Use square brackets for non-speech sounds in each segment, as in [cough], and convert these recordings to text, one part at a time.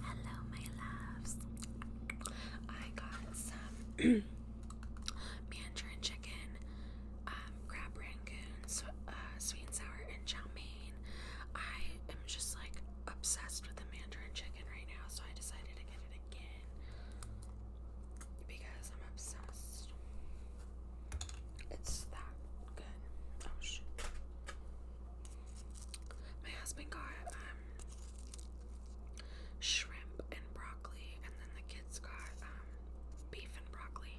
Hello, my loves. I got some [clears throat] Mandarin chicken, um, crab rangoon, uh, sweet and sour, and chow mein. I am just like obsessed with the Mandarin chicken right now, so I decided to get it again because I'm obsessed. It's that good. Oh shoot. My husband got um, shrimp and broccoli, and then the kids got um, beef and broccoli.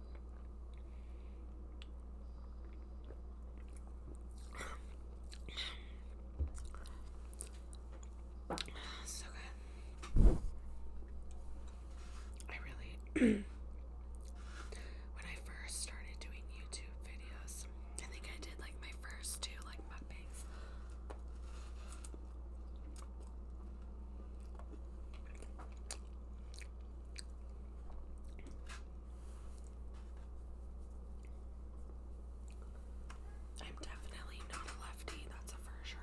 So good. I really, [clears throat] when I first started doing YouTube videos, I think I did like my first two like mukbangs. I'm definitely not a lefty, that's a for sure.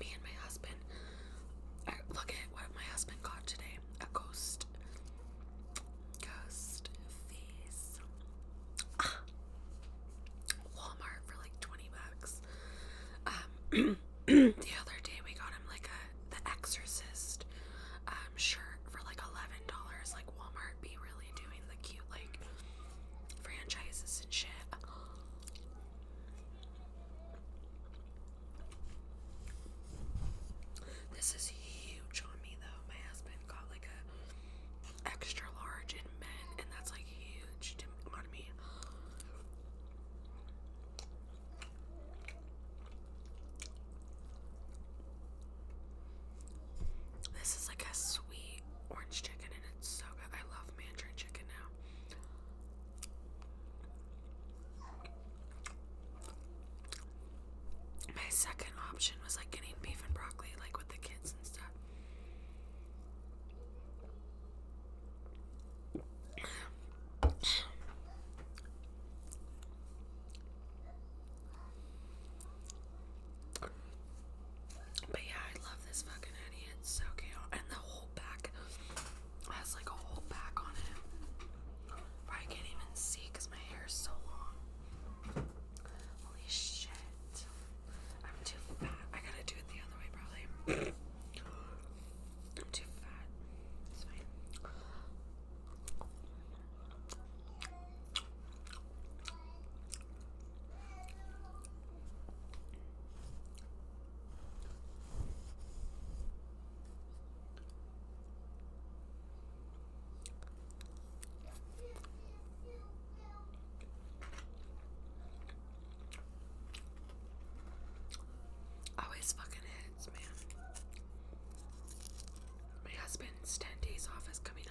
Me and my husband I, look at what my husband got today. A ghost. Ghost face. Ah. Walmart for like 20 bucks. Um, [clears throat] the other day we got him like a the exorcist um, shirt for like eleven dollars. Like Walmart be really doing the cute like franchises and shit. This is huge on me though. My husband got like a extra large in men, and that's like huge to on me. This is like a sweet orange chicken, and it's so good. I love mandarin chicken now. My second option was like getting beef and broccoli, like with the kids and stuff. But yeah, I love this fucking hoodie. so cute. And the whole back has like a whole back on it. Probably can't even see my hair so long. Holy shit. I'm too fat. I gotta do it the other way, probably. [coughs] I'm too fat. It's fine. Always oh, fucking hits, man. My husband's 10 days off is coming up.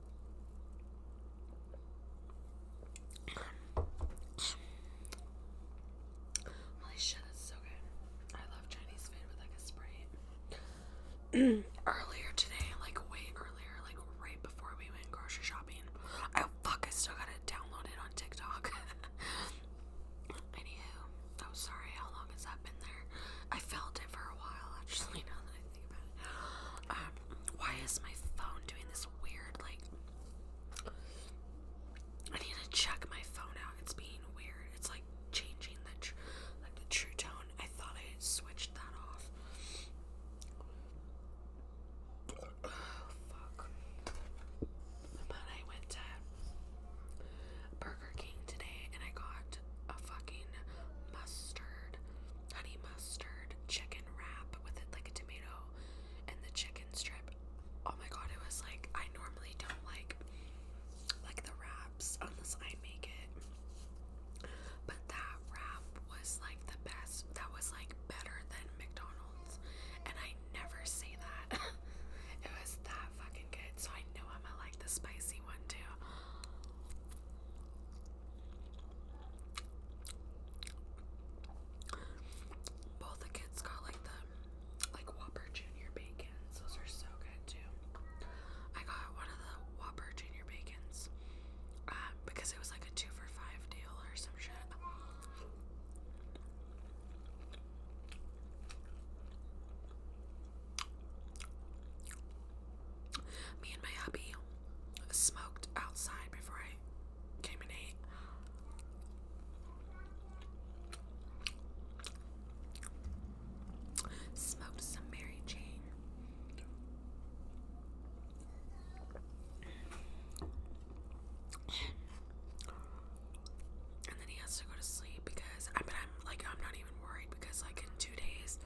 Holy shit, it's so good. I love Chinese food with like a Sprite. [clears throat] earlier today, like way earlier, like right before we went grocery shopping, I fuck, I still gotta download it on TikTok. [laughs] Anywho, I'm oh, sorry, how long has that been there? I felt it for a while, actually, [laughs] [gasps] Um, why is my phone doing this weird, like, I need to check my phone out. It's being weird. It's like changing the, like the true tone. I thought I switched that off. Oh, [sighs] fuck. But I went to Burger King today and I got a fucking mustard, honey mustard chicken wrap with it like a tomato and the chicken strip. Oh my god, it was like I normally don't like like the wraps unless I make it. But that wrap was like the best. That was like better than McDonald's. And I never say that. [laughs] it was that fucking good. So I know I'm gonna like the spicy one too. Both the kids got like the like Whopper Junior bacons. Those are so good too. I got one of the Whopper Junior bacons um, because it was like a two for five deal or some shit. Me and my hubby smoked outside before I came in. ate. Smoked some Mary Jane. And then he has to go to sleep because I but I'm like I'm not even worried because, like, in two days,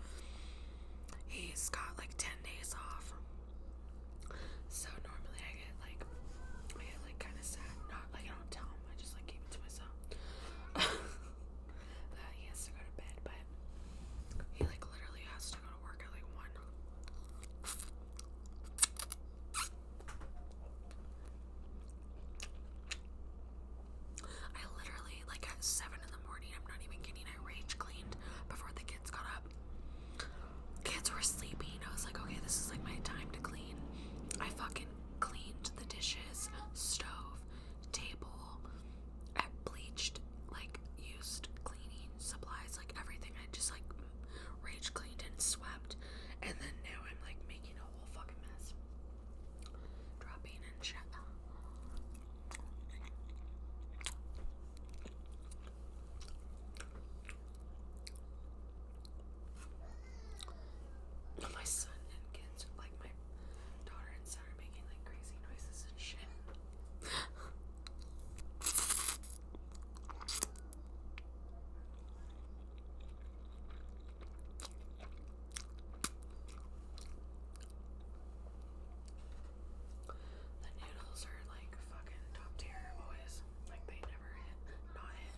he's got like 10 days off. So, normally I get like, I get like kind of sad. Not like I don't tell him, I just like keep it to myself. uh, [laughs] he has to go to bed, but he like literally has to go to work at like 1. I literally, like at 7 in the morning, I'm not even getting I rage cleaned before the kids got up. Kids were sleeping. I was like, okay, this is like my time to clean. I fucking cleaned the dishes, stove, table, I bleached, like used cleaning supplies, like everything. I just like rage cleaned and swept. And then now I'm like making a whole fucking mess dropping and shit. My son and kids, like my daughter and son, are making like crazy noises and shit. The noodles are like fucking top tier always. Like they never hit not hit.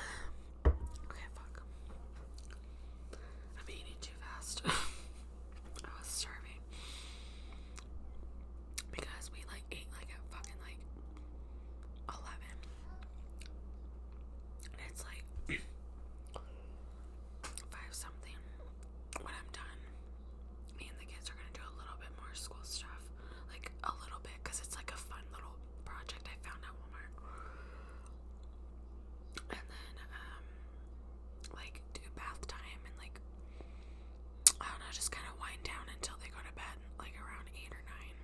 Okay, fuck. I'm eating too fast. [laughs] I was starving because we like ate like at fucking like 11 and it's like [clears throat] five something when I'm done me and the kids are gonna do a little bit more school stuff like a little bit because it's like a fun little project I found at Walmart and then um like do bath time and like I don't know, just kind of wind down until they go to bed, like around eight or nine.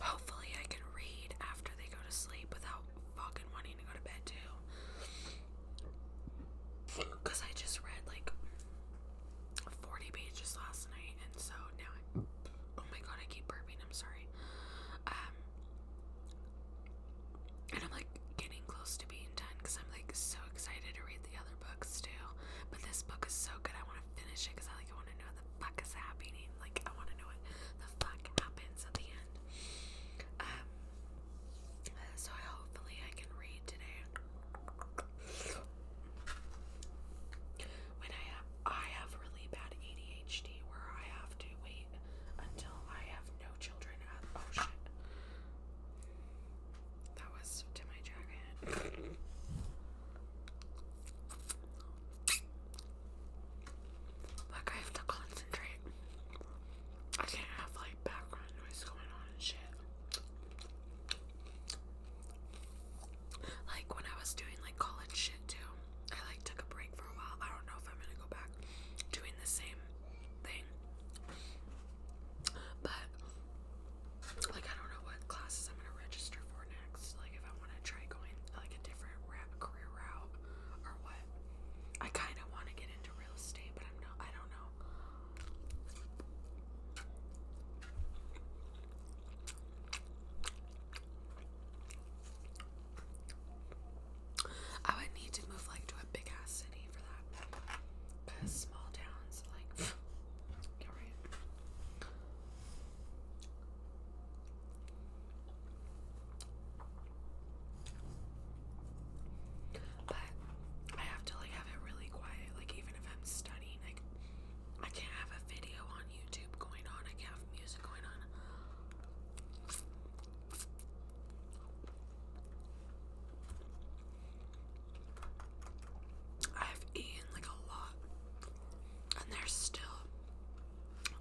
Hopefully, I can read after they go to sleep without fucking wanting to go to bed too. Cause I just read like forty pages last night, and so now oh my god, I keep burping. I'm sorry. Um, and I'm like getting close to being done because I'm like so excited to read the other books too. But this book is so good, I want to finish it because I like want to know what the fuck is happening. Like I want to know what the fuck happens at the end. Um. So hopefully I can read today. When I have I have really bad ADHD where I have to wait until I have no no children oh shit. That was to my jacket. Like I have to concentrate. I can't have like background noise going on and shit. Like when I was doing like college shit too, I like took a break for a while. I don't know if I'm gonna go back doing the same thing. But like I don't know what classes I'm gonna register for next. Like if I wanna try going like a different rap career route or what. I kinda wanna get into real estate, but I'm not I don't know. I would need to move like to a big ass city for that. Because small towns, like, [sighs] But I have to like have it really quiet. Like even if I'm studying, like I can't have a video on YouTube going on. I can't have music going on. I've eaten like a lot, and there's still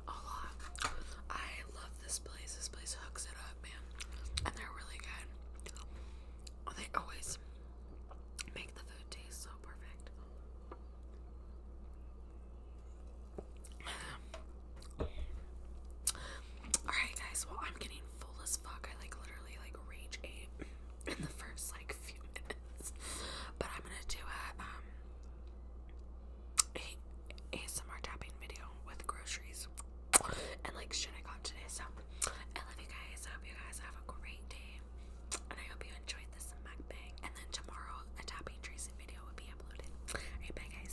a lot. I love this place. This place hooks it up, man, and they're really good. Oh, they always make the food taste so perfect. [sighs] Alright guys, well I'm getting full as fuck. I like literally like rage ate [laughs] in the first like few [laughs] minutes. But I'm gonna do a um a ASMR tapping video with groceries and like shit I got today. So I love you guys. I hope you guys have a great day. And I hope you enjoyed this mukbang. And then tomorrow a tapping tracing video will be uploaded. Alright, bye guys.